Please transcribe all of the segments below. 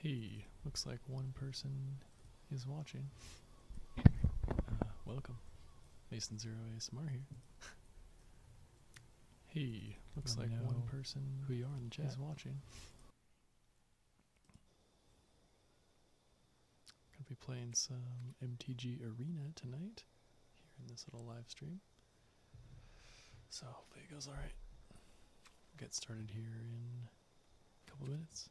Hey, looks like one person is watching. Uh, welcome. Mason Zero ASMR here. hey, looks like one person who you are in the chat is watching. Gonna be playing some MTG Arena tonight here in this little live stream. So hopefully it goes alright. get started here in a couple minutes.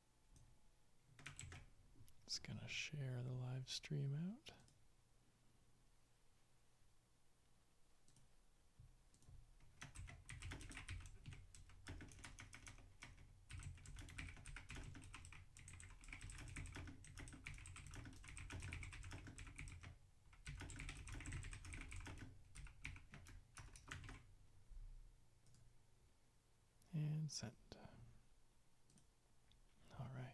It's going to share the live stream out and send. All right.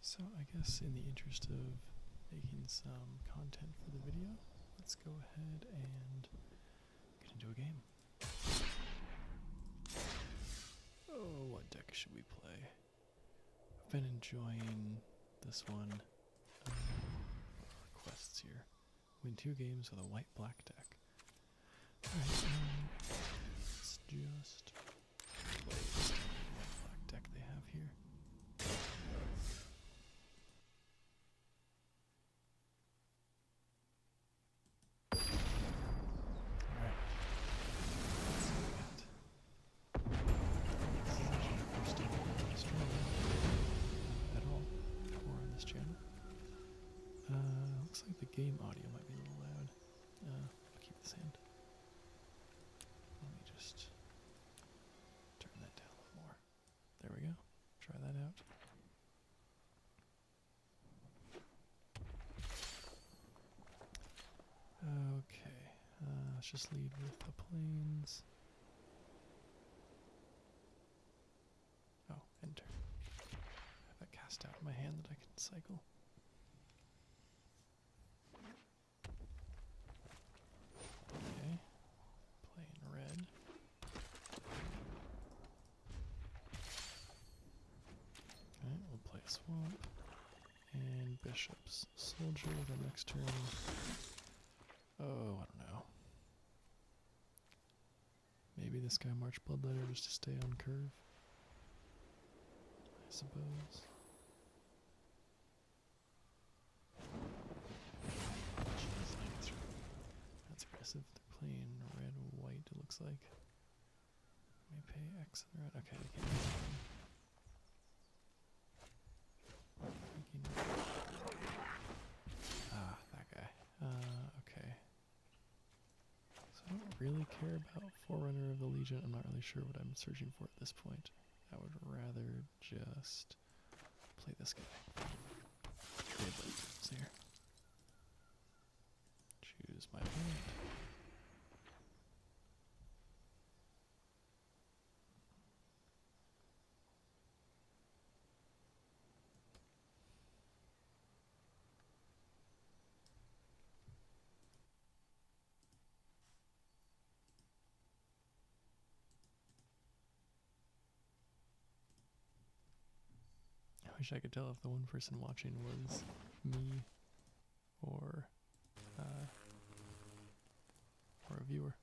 So I guess in the interest of making some content for the video, let's go ahead and get into a game. Oh, what deck should we play? I've been enjoying this one. requests uh, here. Win two games with a white black deck. Um, let's just black deck they have here. Uh, looks like the game audio might be a little loud. Uh, keep this in. Let me just turn that down a little more. There we go. Try that out. Okay, uh, let's just lead with the planes. Oh, enter. have that cast out my hand that I can cycle. Okay, plane red. Alright, we'll play a swamp. And bishops. Soldier the next turn. Oh, I don't know. Maybe this guy marched bloodletter just to stay on curve. I suppose. Jeez, that's aggressive. They're playing red white, it looks like. Let me pay X on the Okay, I Ah, that guy. Uh, okay. So I don't really care about Forerunner of the Legion. I'm not really sure what I'm searching for at this point. I would rather just play this guy. Trailblazers here. Choose my point. I wish I could tell if the one person watching was me or uh, or a viewer.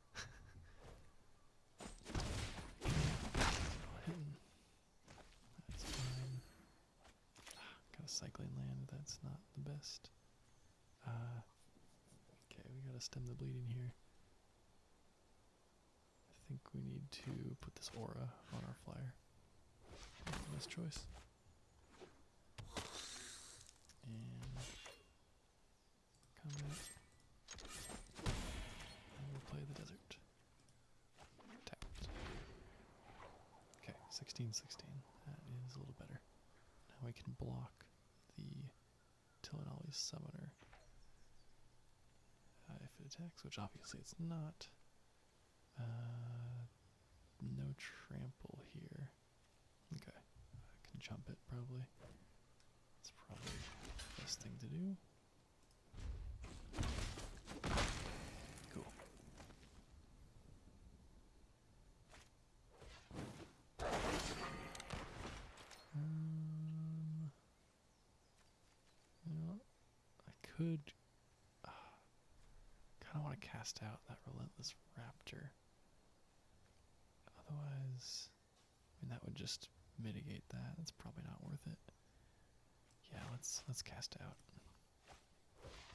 Got a cycling land. That's not the best. Uh, okay, we gotta stem the bleeding here. I think we need to put this aura on our flyer. best choice. And combat. And we play the desert. Okay, 16 16. That is a little better. Now we can block the Tillinali summoner uh, if it attacks, which obviously it's not. Uh, no trample here. Okay, I can jump it probably. It's probably the best thing to do. Cool. Um, you I could uh, kind of want to cast out that relentless raptor. Otherwise, I mean that would just mitigate that. That's probably not worth it. Yeah, let's let's cast out.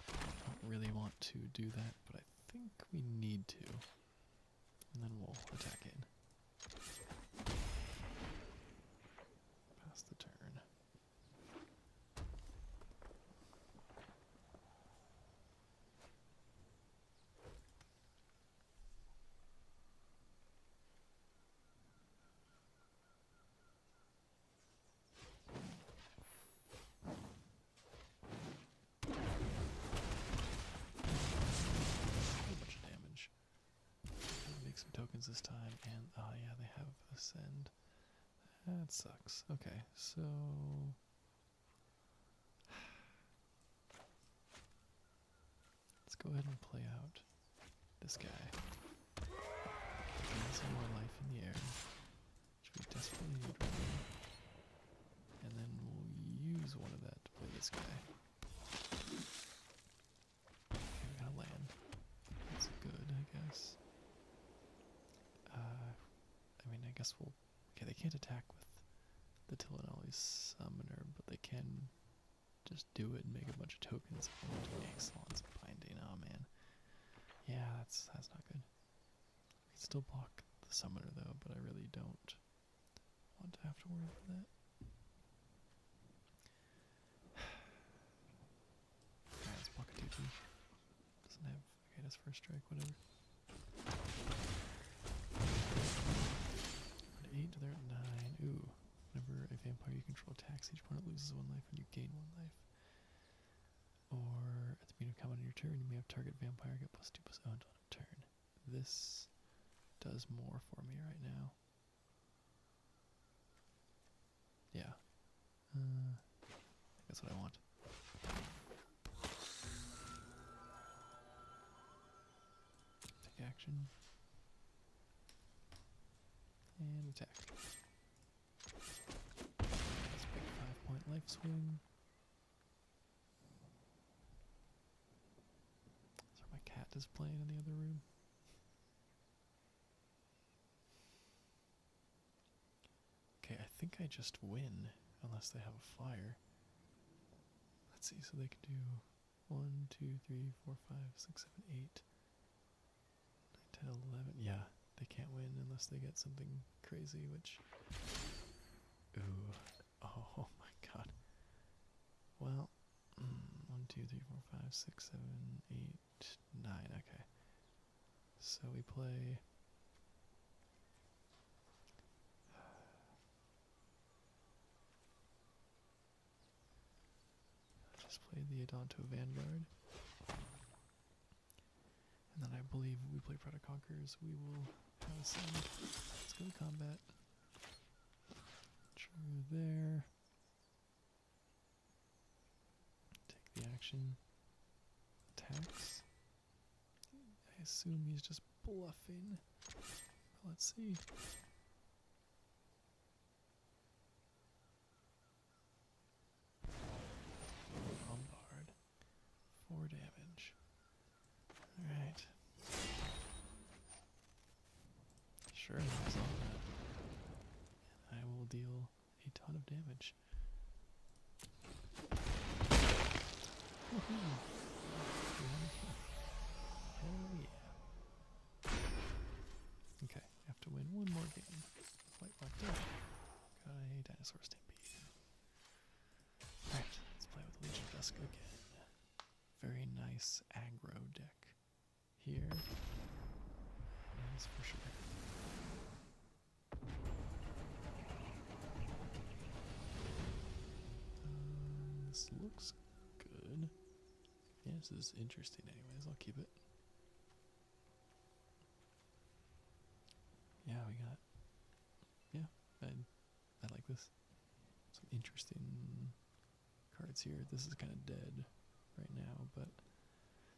I don't really want to do that, but I think we need to. And then we'll attack it. Pass the turn. A bunch of damage. Make some tokens this time, and ah, yeah, they have ascend. That sucks. Okay, so let's go ahead and play out this guy. some more life in the air, which we desperately need And then we'll use one of that to play this guy. Okay, we got a land. That's good, I guess. Uh, I mean, I guess we'll. Okay, they can't attack with the Tillinelli Summoner, but they can just do it and make a bunch of tokens. Excellent binding. Oh man, yeah, that's that's not good. We can still block the Summoner though, but I really don't want to have to worry about that. Yeah, it's pocket Doesn't have. Okay, that's first strike, whatever. 8, to are 9. Ooh. Whenever a vampire you control attacks, each opponent loses one life and you gain one life. Or at the beginning of combat on your turn, you may have target vampire get plus 2 plus 0 until end of turn. This does more for me right now. Yeah. Uh, that's what I want. Take action. And attack. five point life swing. So my cat is playing in the other room. Okay, I think I just win unless they have a fire. Let's see, so they can do one, two, three, four, five, six, seven, eight, nine, ten, eleven. Yeah, they can't win unless they get something crazy, which. Ooh. Oh my god. Well, mm, one, two, three, four, five, six, seven, eight nine, okay. So we play. just uh, played the Adanto Vanguard. And then I believe we play Product Conquerors. We will have some. Let's go to combat. True there. Take the action. Attacks. I assume he's just bluffing. Let's see. Bombard. Four damage. Alright. Sure, that's I will deal a ton of damage. Hell yeah. Okay, have to win one more game. Quite locked up. Got dinosaur stampede. Alright, let's play with Legion Dusk again. Very nice aggro deck here is for sure. Um, this looks good. Yeah, this is interesting anyways. I'll keep it. Yeah, we got... Yeah, I, I like this. Some interesting cards here. This is kind of dead right now, but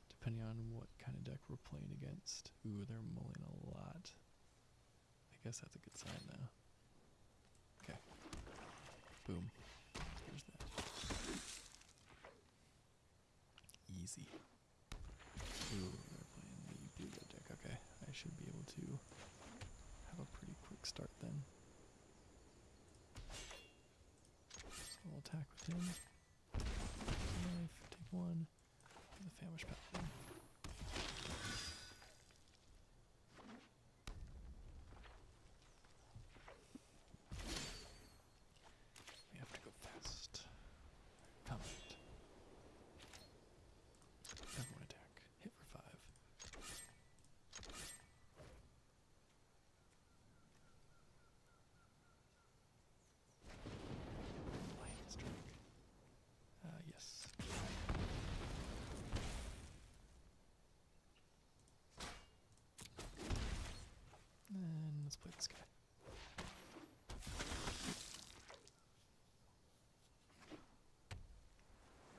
depending on what kind of deck we're playing against. Ooh, they're mulling a lot. I guess that's a good sign though. Okay. Boom. There's that. Easy. Ooh, they're playing the blue deck. Okay, I should be able to have a pretty quick start then. I'll attack with him. Knife, take one. The famish paladin. We have to go fast. Comment. Everyone attack. Hit for five yes. And let's play this guy.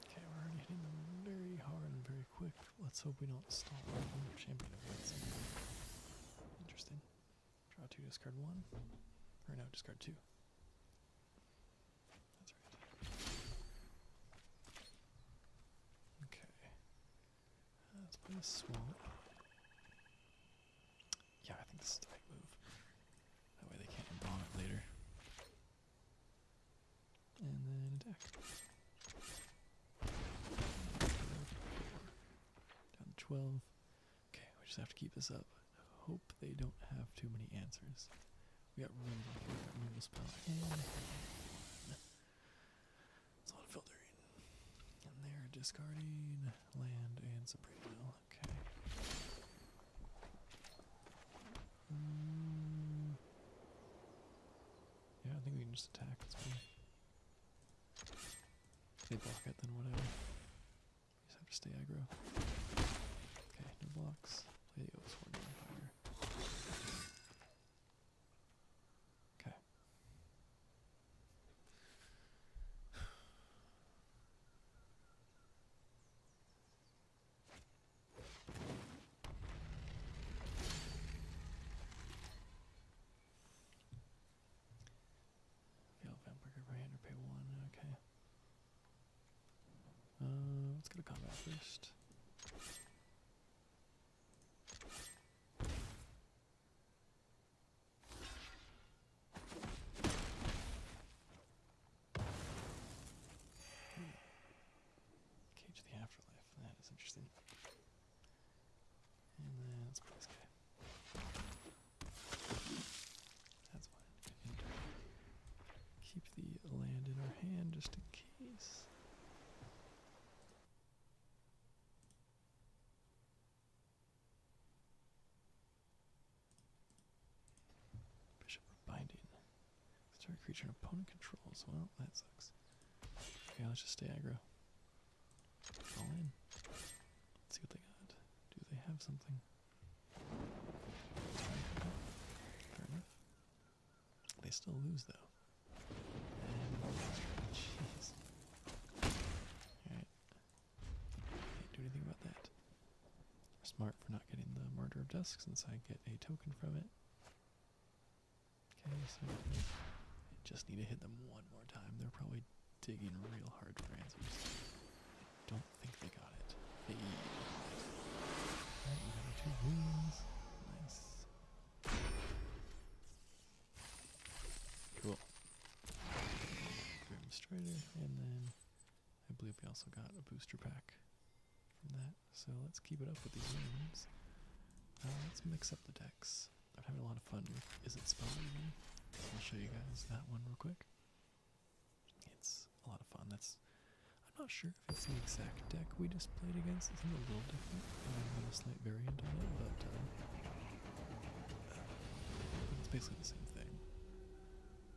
Okay, we're hitting them very hard and very quick. Let's hope we don't stop our champion. Interesting. Draw two, discard one. Or no, discard two. That's right. Okay. Let's play a Yeah, I think this is the right move. That way they can't embalm it later. And then attack. Down to 12. Okay, we just have to keep this up. Hope they don't have too many answers. We got removal. We got it's a lot of filtering. they're discarding land and supreme will. Okay. Mm. Yeah, I think we can just attack they block it, then whatever. You just have to stay aggro. Okay, no blocks. Play the Oathsworn Vampire. Okay. Veil Vampire Brand or pay one, okay. Uh, let's go to combat first. Cage of the Afterlife. That is interesting. That's what I need. Keep the land in our hand just in case. Bishop of Binding. Star creature an opponent controls. Well, that sucks. Okay, let's just stay aggro. All in. see what they got. Do they have something? Fair enough. They still lose though. jeez. Alright. Can't do anything about that. smart for not getting the murder of Dusk since I get a token from it. Okay, so I just need to hit them one more time. They're probably digging real hard for answers. I don't think they got it. Hey. two wins. Nice. Cool. Grim and then I believe we also got a booster pack from that. So let's keep it up with these names. Uh, let's mix up the decks. I'm having a lot of fun with Is It Spell I'll show you guys that one real quick. It's a lot of fun. That's I'm not sure if it's the exact deck we just played against. It's a little different. I've got a slight variant on it, but uh, it's basically the same thing.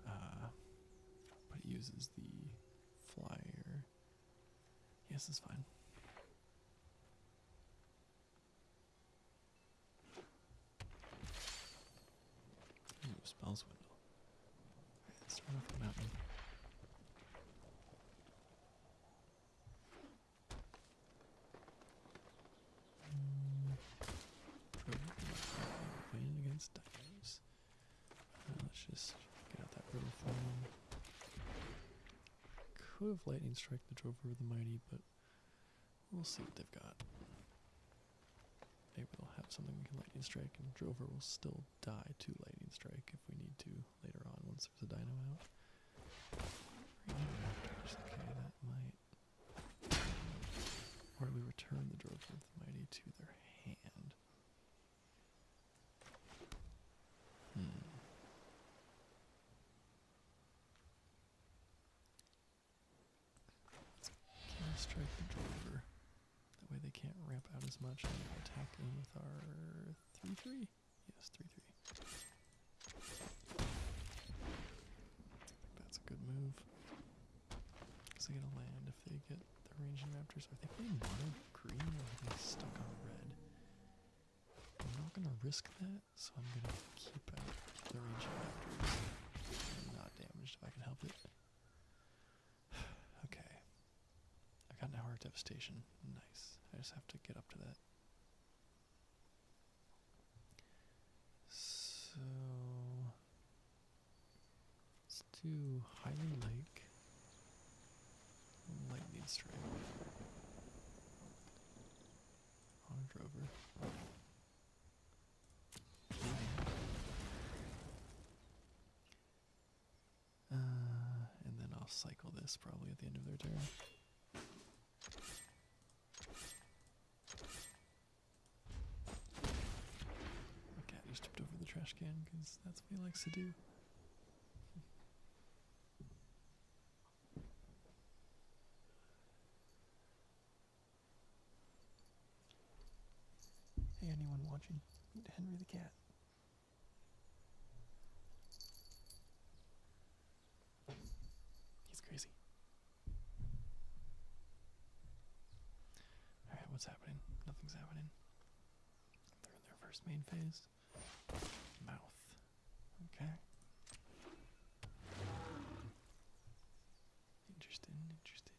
Uh, but it uses the flyer yes, it's fine. spells window. let's start off the mountain. Playing against dinos. Uh, let's just get out that riddle for could have lightning strike the Drover of the Mighty, but we'll see what they've got. Maybe they'll have something we can lightning strike, and Drover will still die to lightning strike if we need to later on once there's a dino out. Okay, that might. Or we return the Drover of the Mighty to their hand. Can I strike the driver? That way they can't ramp out as much and attack in with our 3-3? Yes, 3-3. That's a good move. Because they get a land if they get the ranging raptors. Are they playing green or stuck on red? I'm not gonna risk that, so I'm gonna keep out Thirty range not damaged if I can help it. okay. I got an hour of devastation. Nice. I just have to get up to that. So let's do Highland Lake. Lightning strike. On a drover. Uh, and then I'll cycle this probably at the end of their turn. Okay, just tipped over the trash can because that's what he likes to do. Hey, anyone watching? Henry the Cat. He's crazy. Alright, what's happening? Nothing's happening. They're in their first main phase mouth. Okay. Interesting, interesting.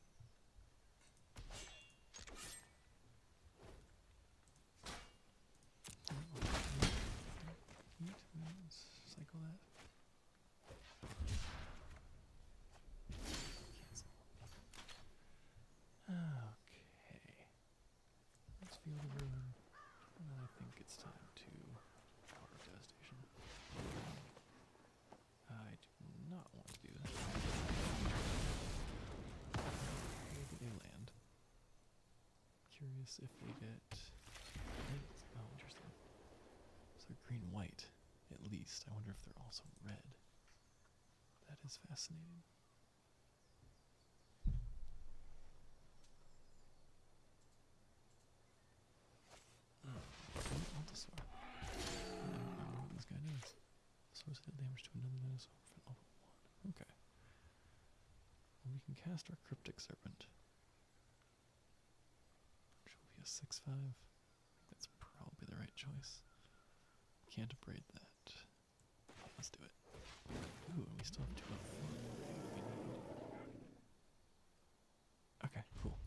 Let's cycle that. Okay. Let's feel the river. I think it's time to power gas station. I do not want to do this. Where do they land? Curious if they get. Oh, so green white, at least. I wonder if they're also red. That is fascinating this guy does. Source head damage to another dinosaur Okay. we can cast our Cryptic Serpent. Which will be a 6 5. That's probably the right choice. Can't abrade that. Let's do it. Okay, cool.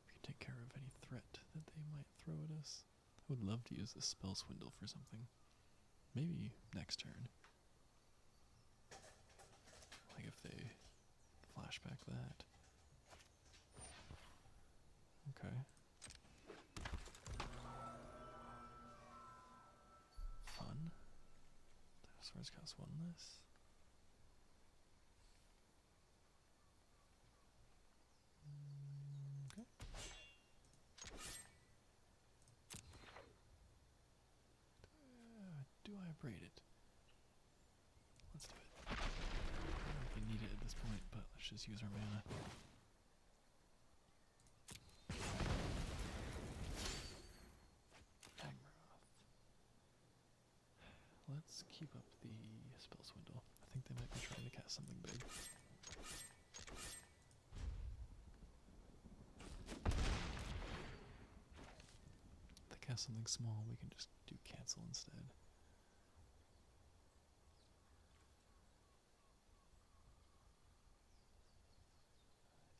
We can take care of any threat that they might throw at us. I would love to use this spell swindle for something. Maybe next turn. Like if they flashback that. Okay. Fun. Dinosaurs cast one less. Okay. Uh, do I, do it? Let's do it. I don't need it at this point, but let's just use our mana. Agroth. Let's keep up the spell swindle. I think they might be trying to cast something big. they cast something small, we can just do cancel instead.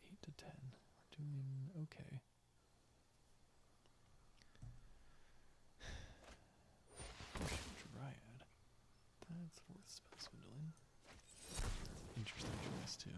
Eight to ten. We're doing okay. Dryad. That's worth spell Interesting choice too.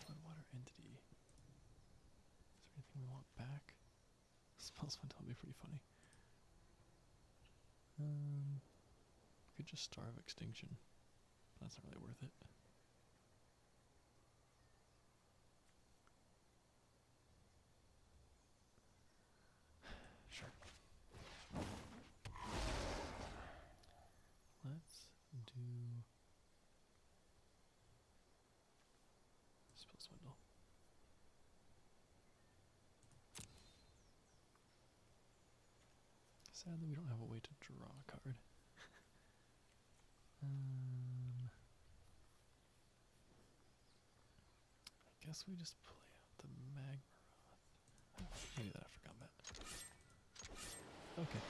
Floodwater entity. Is there anything we want back? Smells fun be pretty funny. Um, could just starve extinction. That's not really worth it. Sure. Let's do spill Sadly, we don't have a way to draw a card. Um, I guess we just play out the Magmaroth. Oh, I knew that, I forgot that. Okay,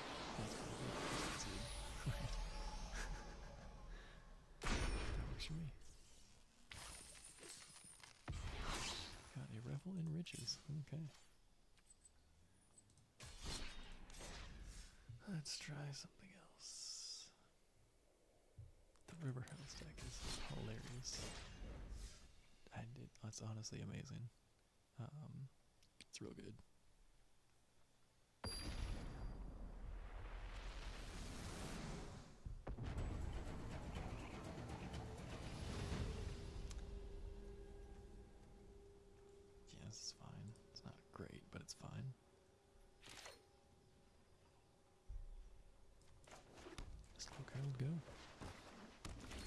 that works for me. Got a revel in riches. Okay. Let's try something else. The River House deck is hilarious. That's honestly amazing. Um, it's real good. Yeah, this fine. It's not great, but it's fine. This little guy will go. Let's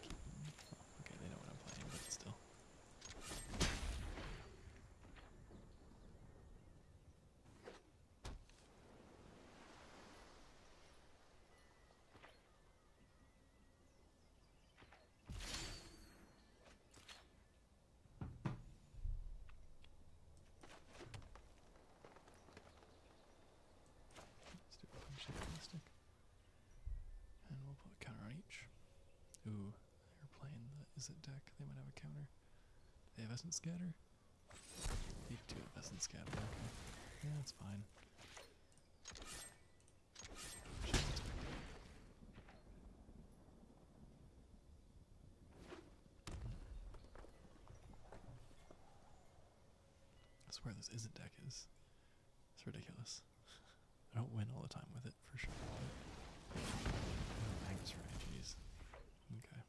keep oh, okay, they know what I'm playing, but still. Let's do a punch shape plastic. And we'll put a counter on each. Ooh, they're playing the is it deck? They might have a counter. They have Essence Scatter. You do it best in scatter, Yeah, that's fine. I swear this isn't deck is. It's ridiculous. I don't win all the time with it for sure. But... Oh, Magnus right, jeez. Okay.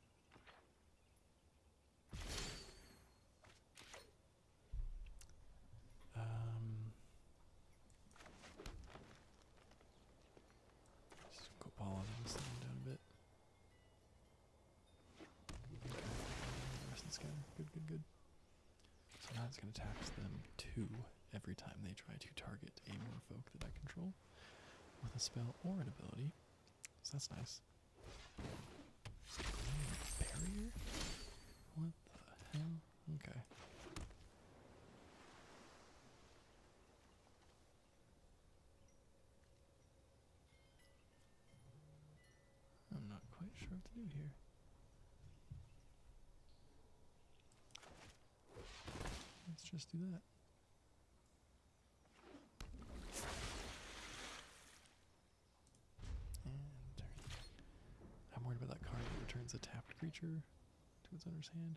Um, just go balling this thing down a bit. Okay. scanner, good, good, good. So now it's going to tax them two every time they try to target a more folk that I control with a spell or an ability. So that's nice. Barrier? What the hell? Okay. I'm not quite sure what to do here. Let's just do that. I'm worried about that card that returns a tapped creature to its owner's hand.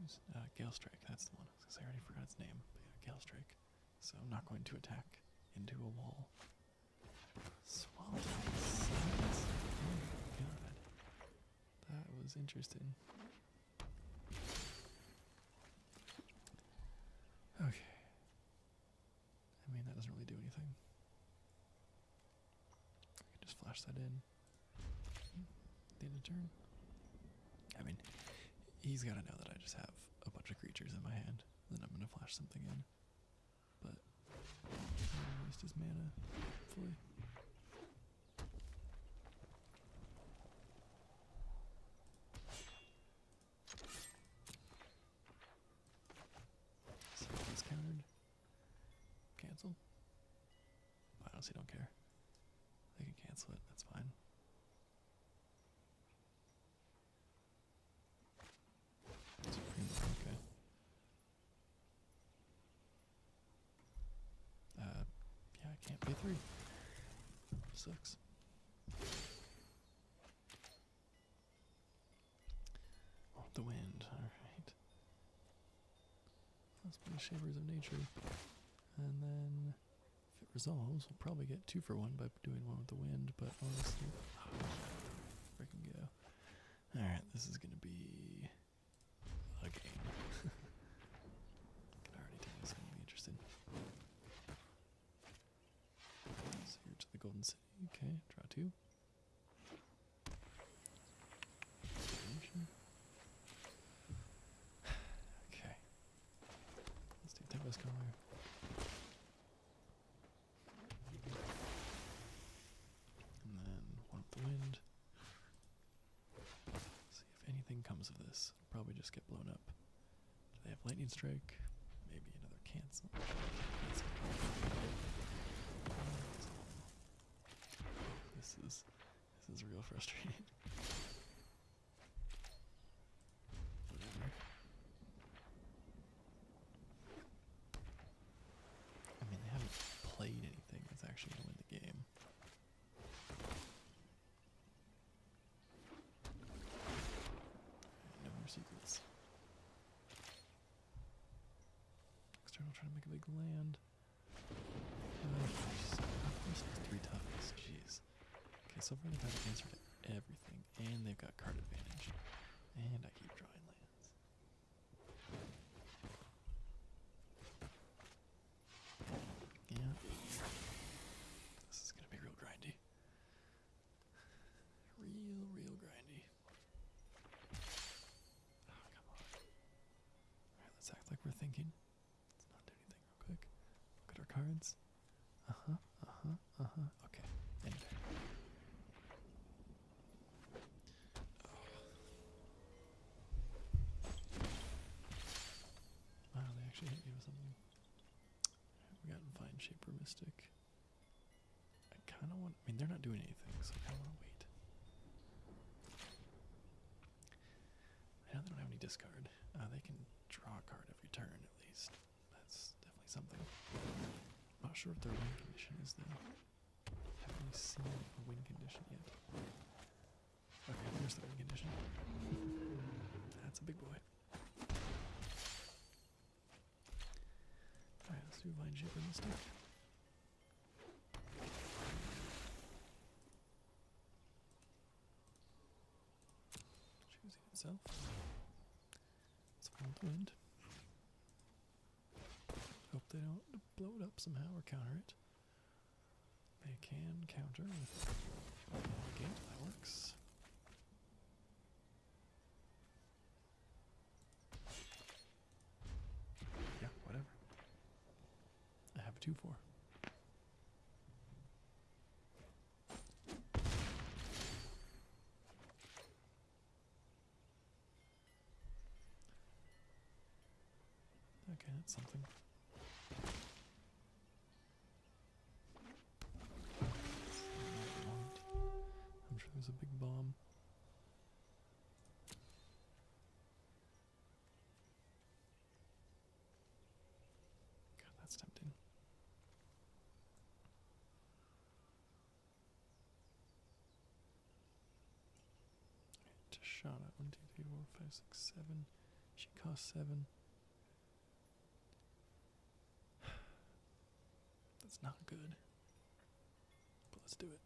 Who's uh, Gale Strike? That's the one. I I already forgot its name. But Gale Strike. So I'm not going to attack into a wall. That was interesting. Okay. I mean, that doesn't really do anything. I can just flash that in. The end of turn. I mean, he's got to know that I just have a bunch of creatures in my hand. Then I'm going to flash something in but waste his mana, hopefully. So countered. Cancel. I honestly don't care. They can cancel it, that's fine. Supreme, okay. Uh, yeah, I can't pay three. Sucks. Oh, the wind, alright. Let's play Shivers of Nature. And then, if it resolves, we'll probably get two for one by doing one with the wind, but honestly, oh, freaking go. Alright, this is gonna be Okay. can already tell he's going to be interested. here to the Golden City. Okay, draw two. Okay. Let's do Tempest Collar. And then one with the wind. Let's see if anything comes of this. It'll probably just get blown up. Do they have lightning strike? Maybe another cancel. cancel. This is this is real frustrating. Whatever. I mean, they haven't played anything that's actually going to win the game. No more sequels. External trying to make a big land. Oh, uh, first jeez. Okay, so far they've had an answer everything, and they've got card advantage. And I keep drawing land. Yeah. This is gonna be real grindy. Real, real grindy. Oh, come on. Alright, let's act like we're thinking. Let's not do anything real quick. Look at our cards. Uh huh, uh huh, uh huh. Okay, anyway. Wow, they actually hit me with something. We got Vine Shaper Mystic. I kind of want. I mean, they're not doing anything, so I kind of want to wait. I know they don't have any discard. Uh, they can draw a card every turn, at least. That's definitely something. I'm not sure what their win condition is, though. Haven't we seen a win condition yet? Okay, there's the win condition. That's a big boy. Alright, let's do Vine Shaper this time. Choosing itself. Let's find the wind. Hope they don't blow it up somehow or counter it. They can counter with the works. Yeah, whatever. I have a 2 4. Okay, that's something. I'm sure there's a big bomb. God, that's tempting. Just shot at 1, 2, 3, 4, 5, 6, 7. She cost 7. That's not good. But let's do it.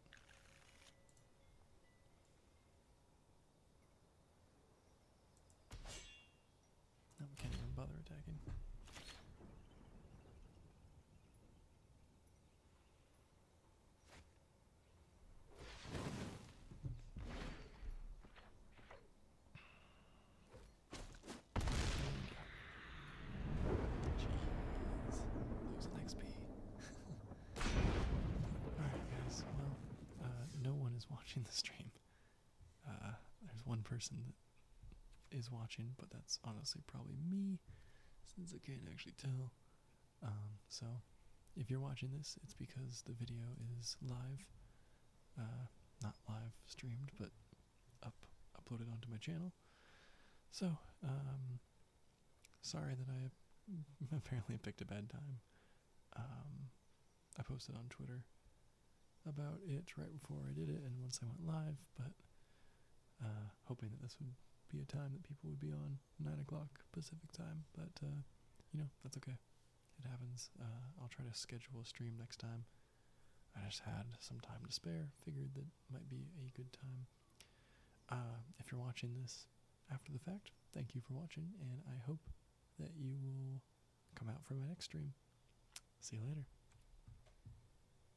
Now can't even bother attacking. Jeez. Lose XP. Alright guys, well, uh, no one is watching the stream. Uh, there's one person that is watching, but that's honestly probably me since I can't actually tell. Um, so, if you're watching this, it's because the video is live. Uh, not live streamed, but up uploaded onto my channel. So, um, sorry that I apparently picked a bad time. Um, I posted on Twitter about it right before I did it, and once I went live, but uh, hoping that this would be a time that people would be on nine o'clock Pacific time, but uh, you know that's okay. It happens. Uh, I'll try to schedule a stream next time. I just had some time to spare. Figured that might be a good time. Uh, if you're watching this after the fact, thank you for watching, and I hope that you will come out for my next stream. See you later.